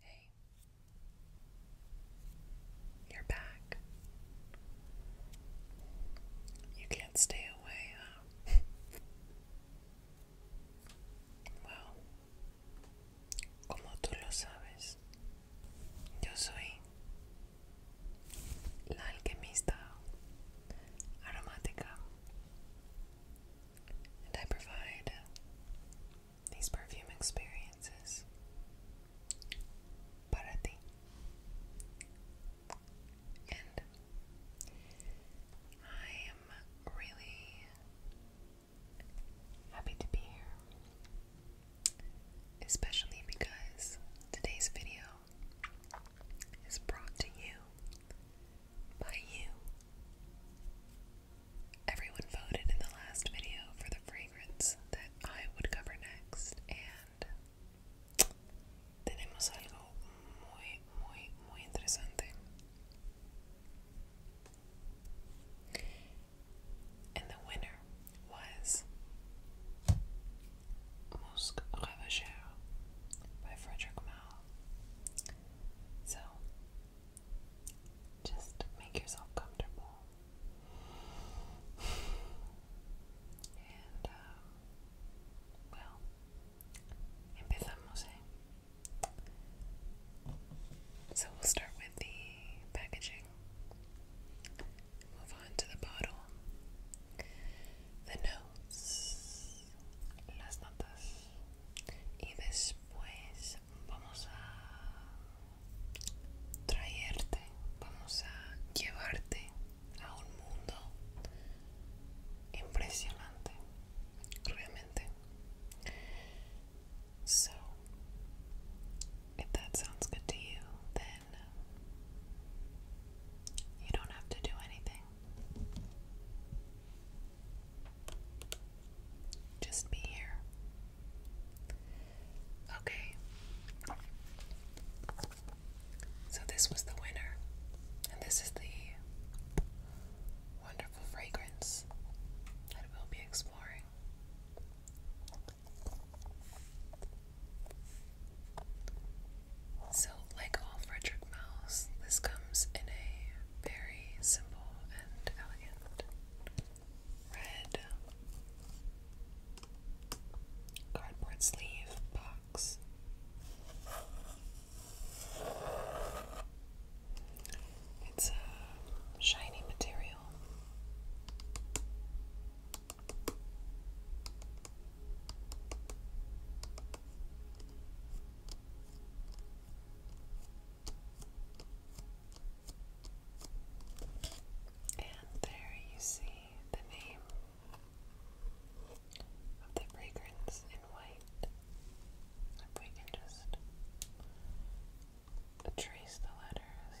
Hey, you're back. You can't stay away, well, como tú lo sabes, yo soy la alquimista aromática and I provide these perfume experiences. Para And I am really happy to be here, especially because today's video is brought to you by you. Everyone voted in the last video for the fragrance that I would cover next, and tenemos algo muy, muy, muy interesante. And the winner was Musque Ravageur by Frederick Malle. So, just make yourself comfortable. And, uh, well, empezamos, eh. So we'll start with the packaging, move on to the bottle, the notes, las notas. y después vamos a traerte, vamos a llevarte a un mundo impresionante, realmente. So, if that sounds good to you, then you don't have to do anything. Just be here. Okay. So, this was the winner, and this is the wonderful fragrance that will be exploring. So, like all fragrance mouse. This comes in a very simple and elegant red cardboard sleeve box. It's a shiny material. And there you see the name of the fragrance in white. If we can just trace the letters.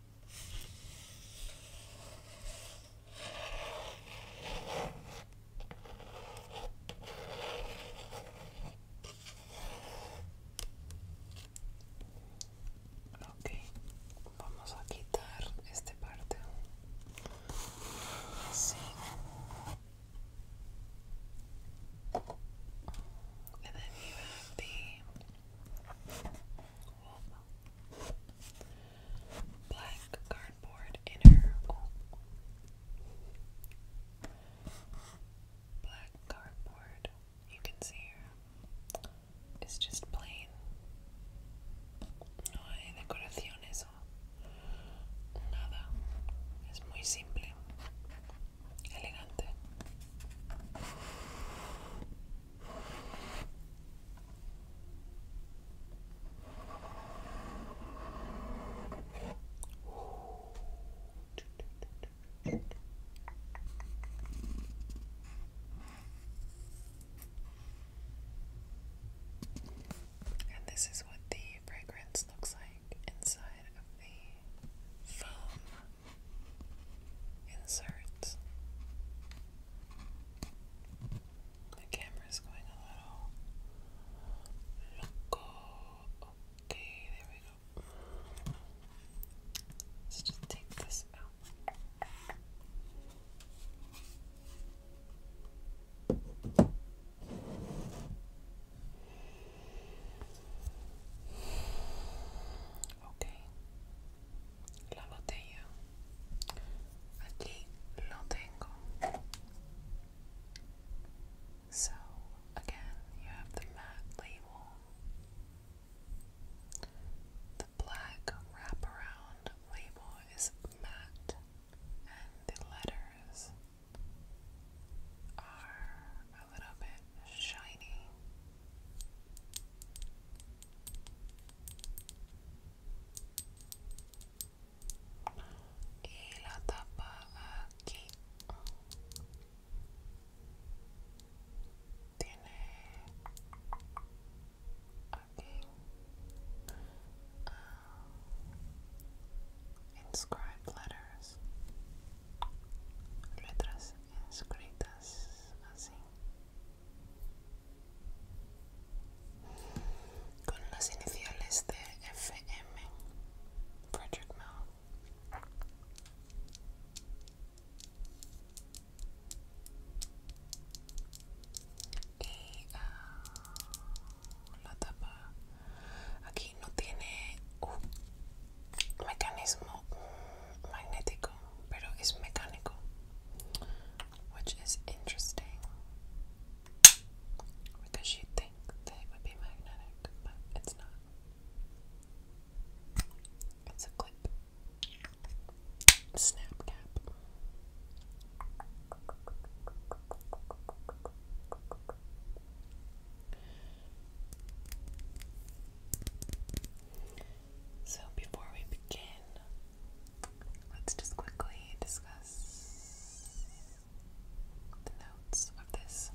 Ok, vamos a quitar esta parte. Así. black cardboard inner. Black cardboard, you can see here, it's just plain. No hay decoraciones nada. Es muy simple elegante. And this is what the fragrance looks like inside of the foam insert. The camera's going a little loco. Okay, there we go. Let's just take this out. Ok, la botella. Aquí lo tengo. So, again, you have the matte label, the black wraparound label is matte, and the letters are a little bit shiny. Y la tapa aquí tiene um, inscribed letters. letras escritas así con las iniciales de FM Frederick Mell y ah, la tapa aquí no tiene mecanismo magnético, pero es mecánico, which is interesting because you think that it would be magnetic, but it's not. It's a clip, snap cap. So, before we begin, let's just quickly discuss the notes of this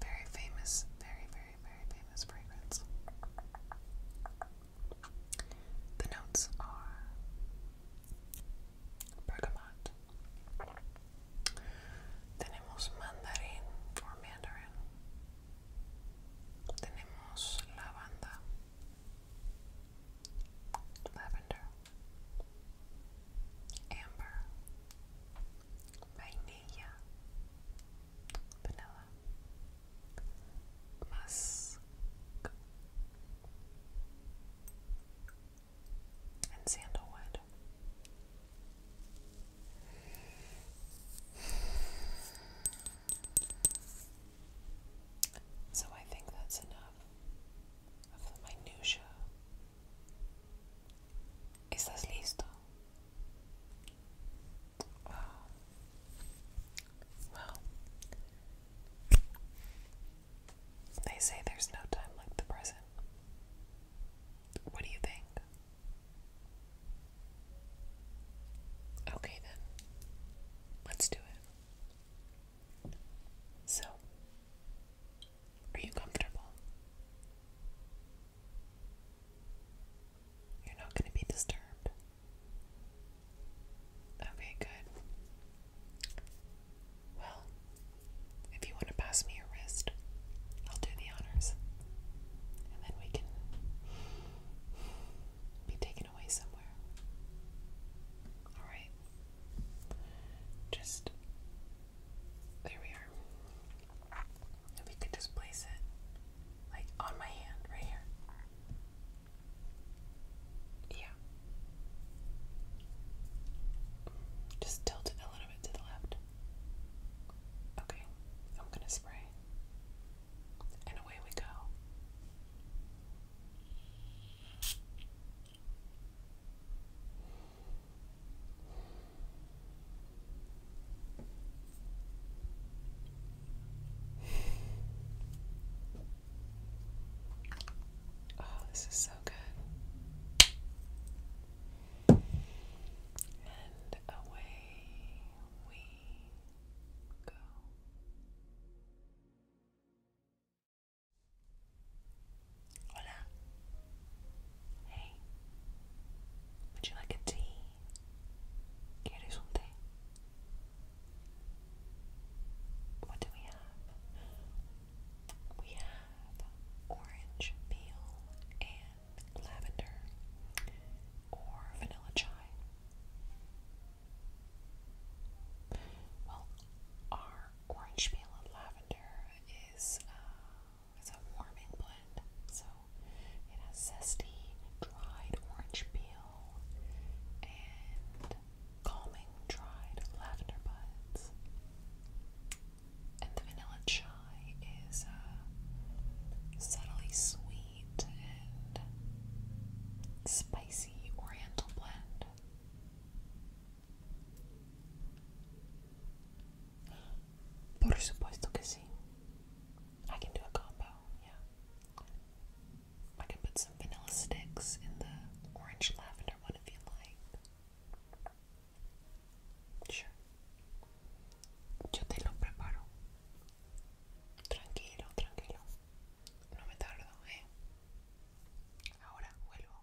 very famous, very, very, very famous fragrance. The notes are bergamot, Tenemos mandarín or mandarin. Tenemos lavanda. Lavender. Amber. Vanilla. Musk. And sandalwood. So I think that's enough of the minutia. ¿Estás listo? Ah. Well, they say there's no time like the present. What do you think? Okay, then. Let's do it. So, are you comfortable? You're not going to be disturbed. Okay, good. Well, if you want to pass me your wrist, I'll do the honors. And then we can be taken away somewhere. Alright. Just. There we are. If we could just place it, like, on my hand, right here. Yeah. Just tilt it a little bit to the left. Okay, I'm gonna spray. And away we go. Oh, this is so good. And away we go. Hola. Hey. Would you like a tea? ¿Quieres un té? What do we have? We have orange peel and lavender, or vanilla chai. Well, our orange peel and lavender is uh, a warming blend, so it has zesty, dried orange peel and calming, dried lavender buds and the vanilla chai is uh, subtly sweet and spicy oriental blend. Por supuesto que sí. I can do a combo, yeah. I can put some vanilla sticks in the orange lavender one if you like. Yo te lo preparo. Tranquilo, tranquilo. No me tardo, ¿eh? Ahora vuelvo.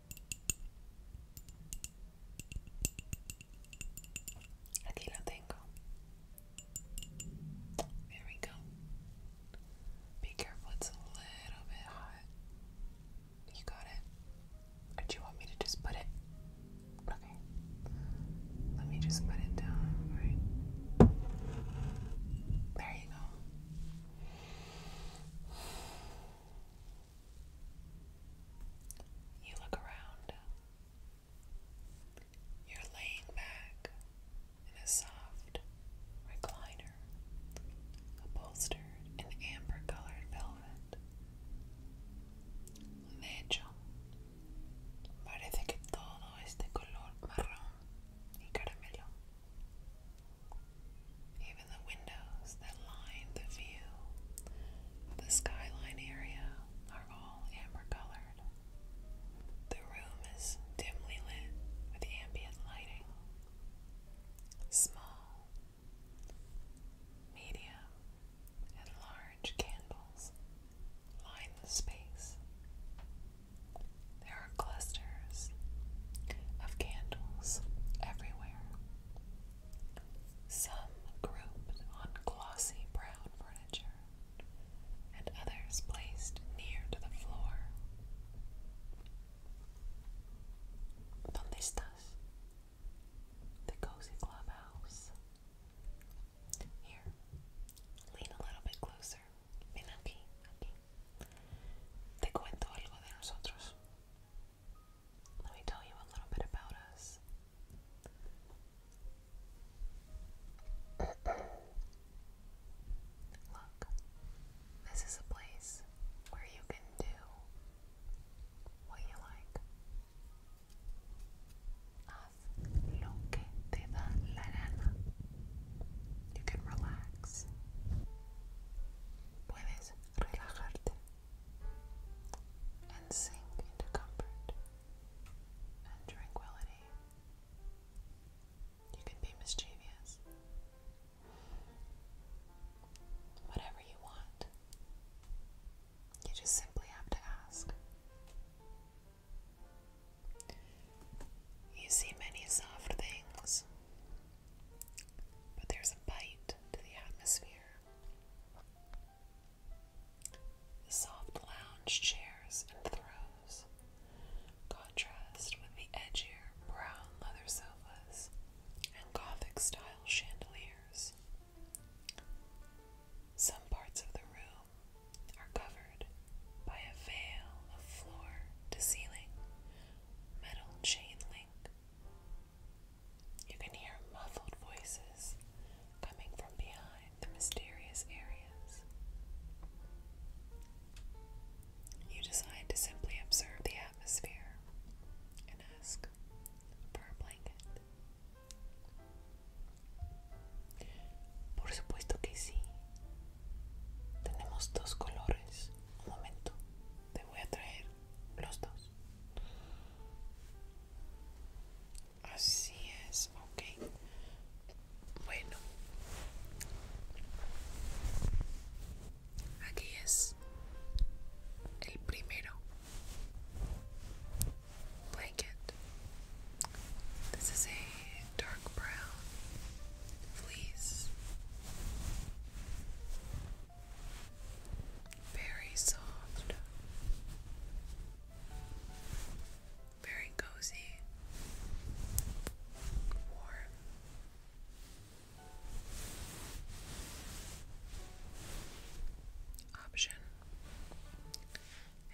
Aquí we go. Be careful, it's a little bit hot. You got it? do you want me to just put it? Okay. Let me just put it down, right? There you go. You look around. You're laying back in a soft recliner, upholstered in amber colored velvet. De hecho, parece que todo es de color marrón y caramelo. Even the windows that line the view, the skyline area, are all amber colored. The room is dimly lit with ambient lighting. Small, medium, and large candles line the space. There are clusters of candles everywhere. Some grouped on glossy brown furniture, and others placed near to the floor. ¿Dónde estás? The cozy clubhouse. Here, lean a little bit closer. Ven aquí, aquí. Te cuento algo de nosotros. Let me tell you a little bit about us. Look, this is a place where you can do what you like. You can relax relajarte and sink into comfort and tranquility. You can be mischievous. Whatever you want, you just simply have to ask. You see many soft things but there's a bite to the atmosphere. soft lounge chairs and throws contrast with the edgier brown leather sofas and Gothic style chandeliers. Some parts of the room are covered by a veil of floor to ceiling metal chain link you can hear muffled voices coming from behind the mysterious areas. You decide to simply observe the atmosphere and ask for a blanket. Por supuesto que sí. Tenemos dos colores. Un momento. te voy a traer los dos. Así es, ok. Bueno. Aquí es el primero. Blanket. This is a dark brown fleece. Very soft. Very cozy. Warm. Option.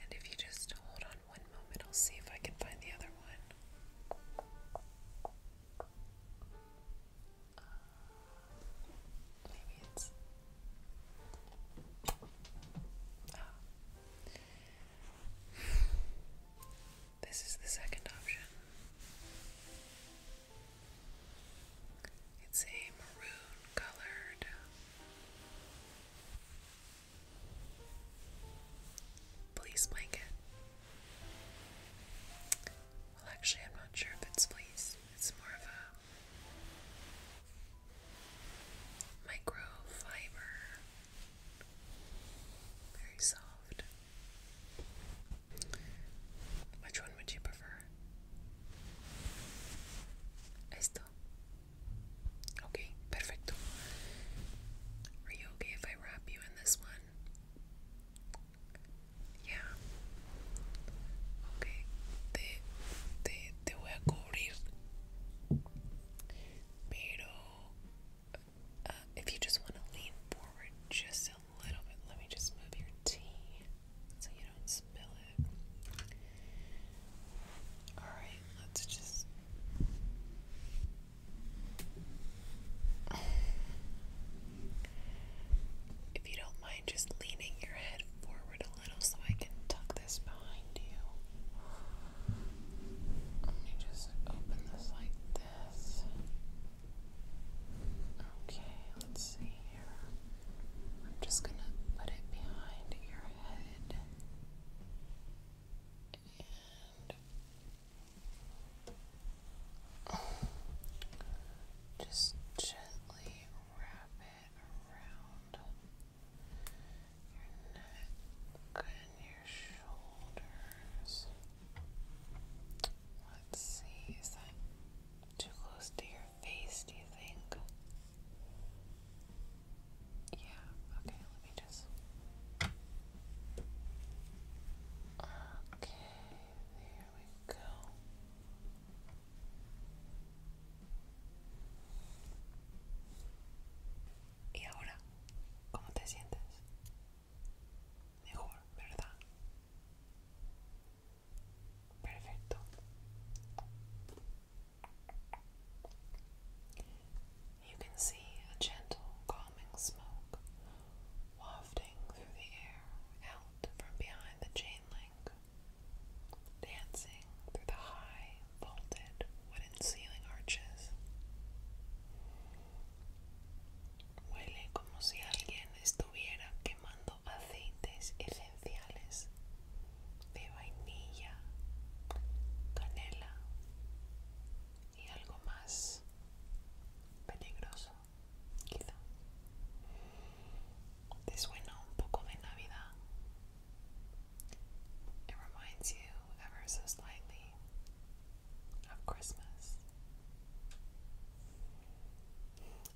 And if you just hold on one moment, I'll see if I can find the other one. Uh, this is the second option. It's a maroon colored police blanket. Well, actually, I'm not sure if it's fleece. It's more of a microfiber. Very soft. Which one would you prefer? Esto. Okay, perfecto. Are you okay if I wrap you in this one? Ya. Ok, te, te, te voy a cubrir. Pero, uh, if you just want to lean forward just a little bit, let me just move your tea so you don't spill it. Alright, let's just. If you don't mind just leaning your head forward a little so I can tuck this behind you. Let me just open this like this. Okay, let's see here. I'm just gonna put it behind your head just gently wrap it around your neck and your shoulders. Let's see, is that too close to your face, do you think? Yeah, okay, let me just. Okay. There we go. ¿Y ahora cómo te sientes? Mejor, ¿verdad? Perfecto. You can see a gentle, calming smoke wafting through the air out from behind the chain link, dancing through the high, vaulted wooden ceiling arches. Huele como si alguien estuviera quemando aceites esenciales de vainilla, canela y algo más peligroso quizá. Te a little bit de Navidad. It reminds you ever so slightly of Christmas.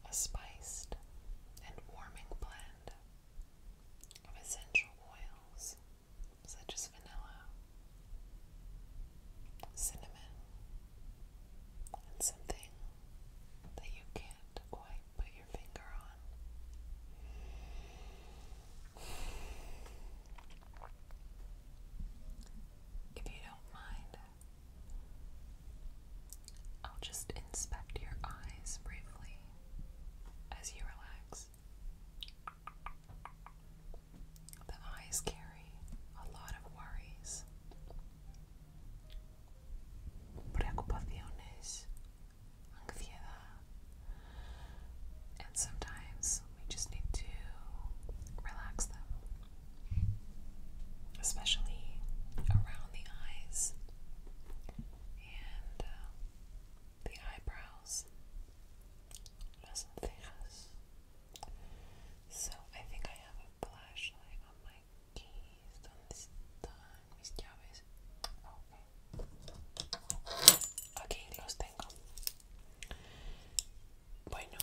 A spiced and warming blend of essential oils such as vanilla, cinnamon, and something that you can't quite put your finger on. If you don't mind, I'll just inspect your eyes briefly as you relax. The eyes carry a lot of worries, preocupaciones, ansiedad, and sometimes we just need to relax them, especially around the eyes and uh, the eyebrows, las cejas. So I think I have a flashlight on my keys. ¿Dónde están mis llaves? Okay. Aquí los tengo. Bueno,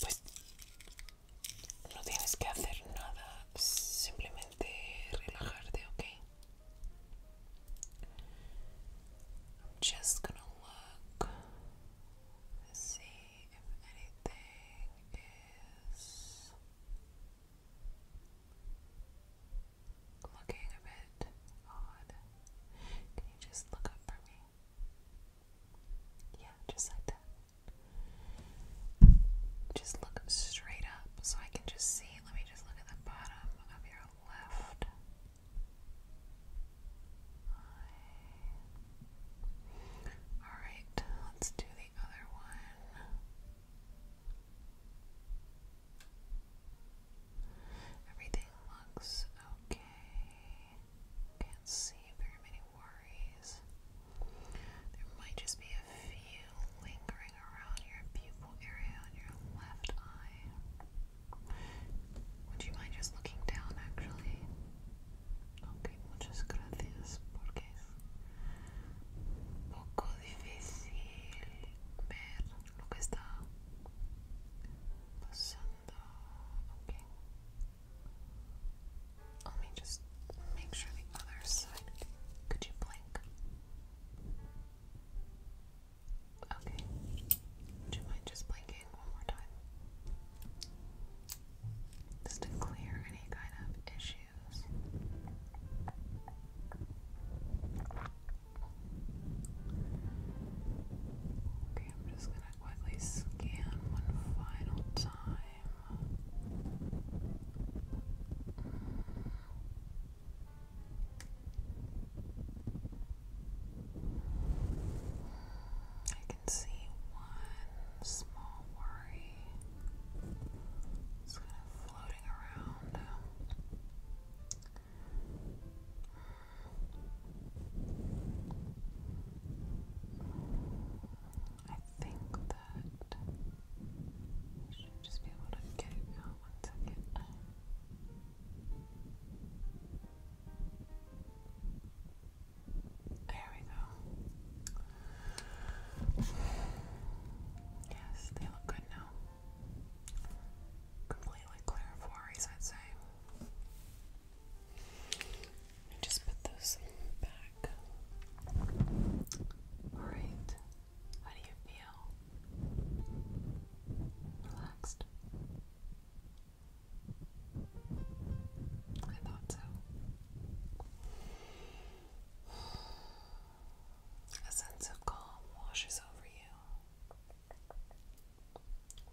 pues no tienes que hacer nada, simplemente relajarte, okay? am just gonna look. see if anything is looking a bit odd. Can you just look up for me? Yeah, just like that. Just look straight up so I can just see. Let me just look at the bottom of your left all right, let's do the other one. Everything looks okay. Can't see very many worries. There might just be a few lingering around your pupil area on your left eye. Would you mind just looking down actually? Ok, muchas gracias porque es un poco difícil ver lo que está pasando. Ok. Let me just make sure the other side. Could you blink? Okay. Would you mind just blinking one more time? just to clear any kind of issues. Okay, I'm just gonna quickly scan one final time. I can see one small worry. It's kind of floating around. I think that I should just be able to get it out one second. There we go. Yes, they look good now. Completely clear of worries, I'd say. Just put those back. Alright. How do you feel? Relaxed? I thought so. A sense of calm washes over you.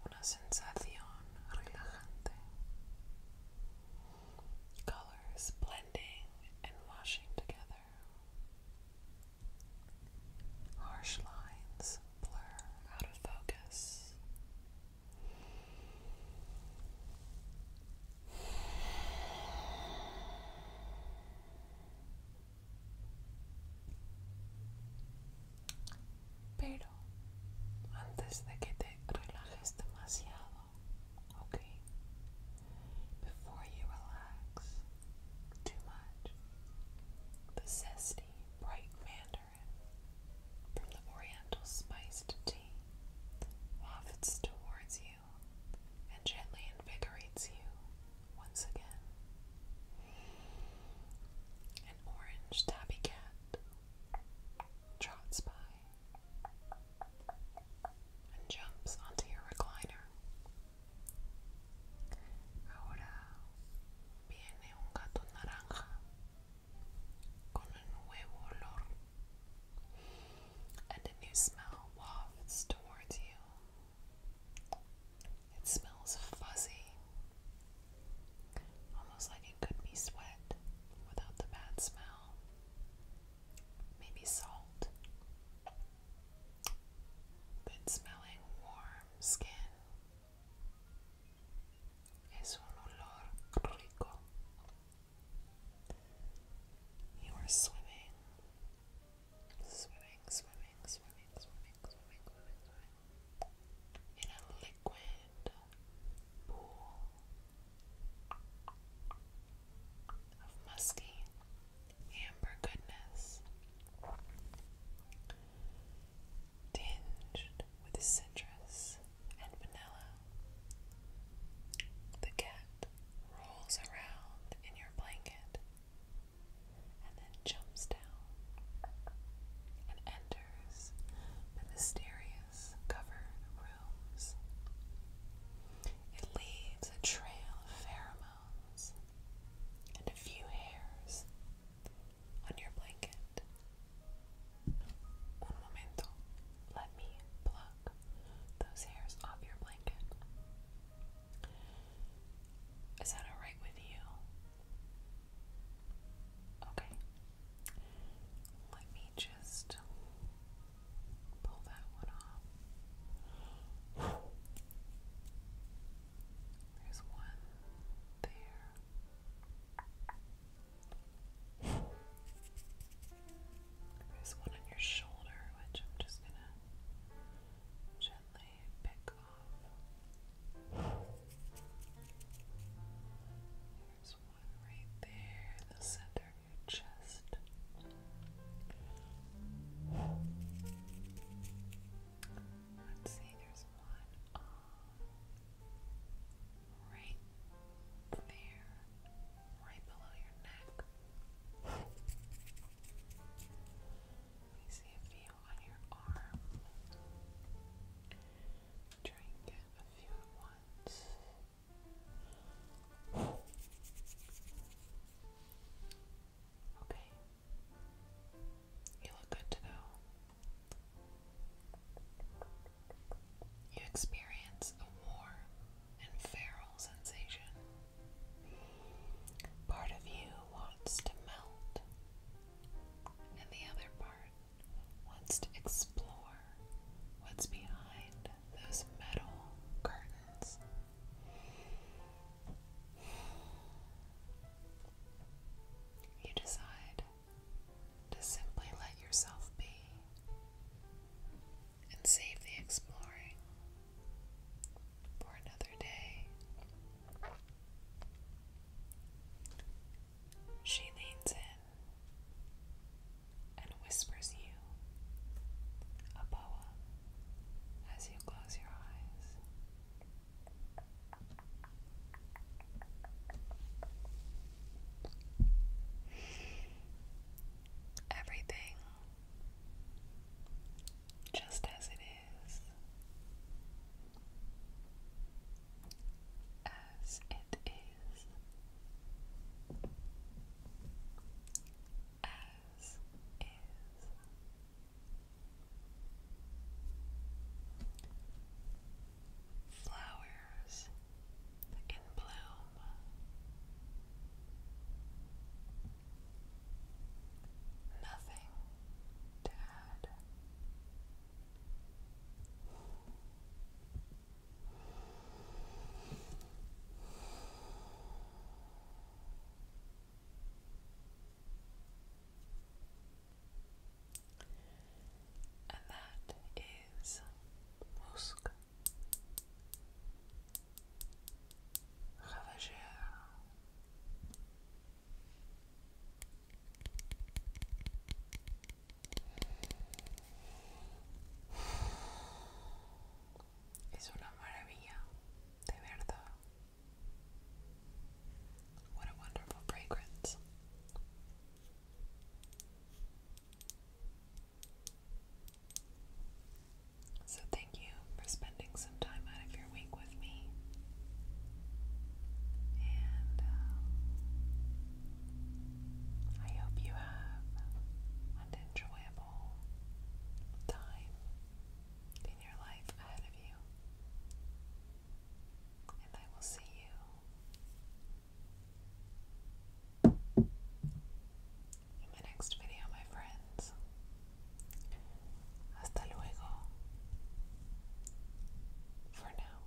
Una sensación relajante. Colors blending and washing together. Harsh lines blur out of focus. Pero Before you relax too much, the zesty bright mandarin from the oriental spiced tea wafts towards you and gently invigorates you once again. An orange tabby cat trots by and jumps onto your recliner. Ahora viene un gato naranja con a nuevo olor, and a new smell wafts towards you. It smells fuzzy, almost like it could be sweat without the bad smell. Maybe salt. Good smelling warm skin Es un olor You are swimming, swimming, swimming, swimming, swimming, swimming, swimming, in a liquid pool of musky amber goodness tinged with citrus and vanilla. The cat rolls around in your blanket and then jumps down and enters the mysterious covered rooms. It leaves a trail of pheromones and a few hairs on your blanket. Un momento. Let me pluck those hairs off your blanket. Is that alright with you? Okay. Let me just pull that one off. There's one there. There's one on your shoulder, which I'm just going to gently pick off. There's one right there the center of your chest. Let's see, there's one right there, right below your neck. Let me see a few on your arm. Try a few at once. Okay. You look good to go. You experience a warm and feral sensation. Part of you wants to melt, and the other part wants to explore what's behind those metal curtains. You decide to simply let yourself be and save the exploring for another day. She leans in and whispers you a poem as you close your eyes. Everything just as it is, as it is, as is. Flowers in bloom. Nothing to add. And that is Musk Ravageur. Es una maravilla, de verdad. What a wonderful fragrance. So, thank you for spending some time out of your week with me. And um, I hope you have an enjoyable time in your life ahead of you and I will see you in my next video, my friends. Hasta luego. For now.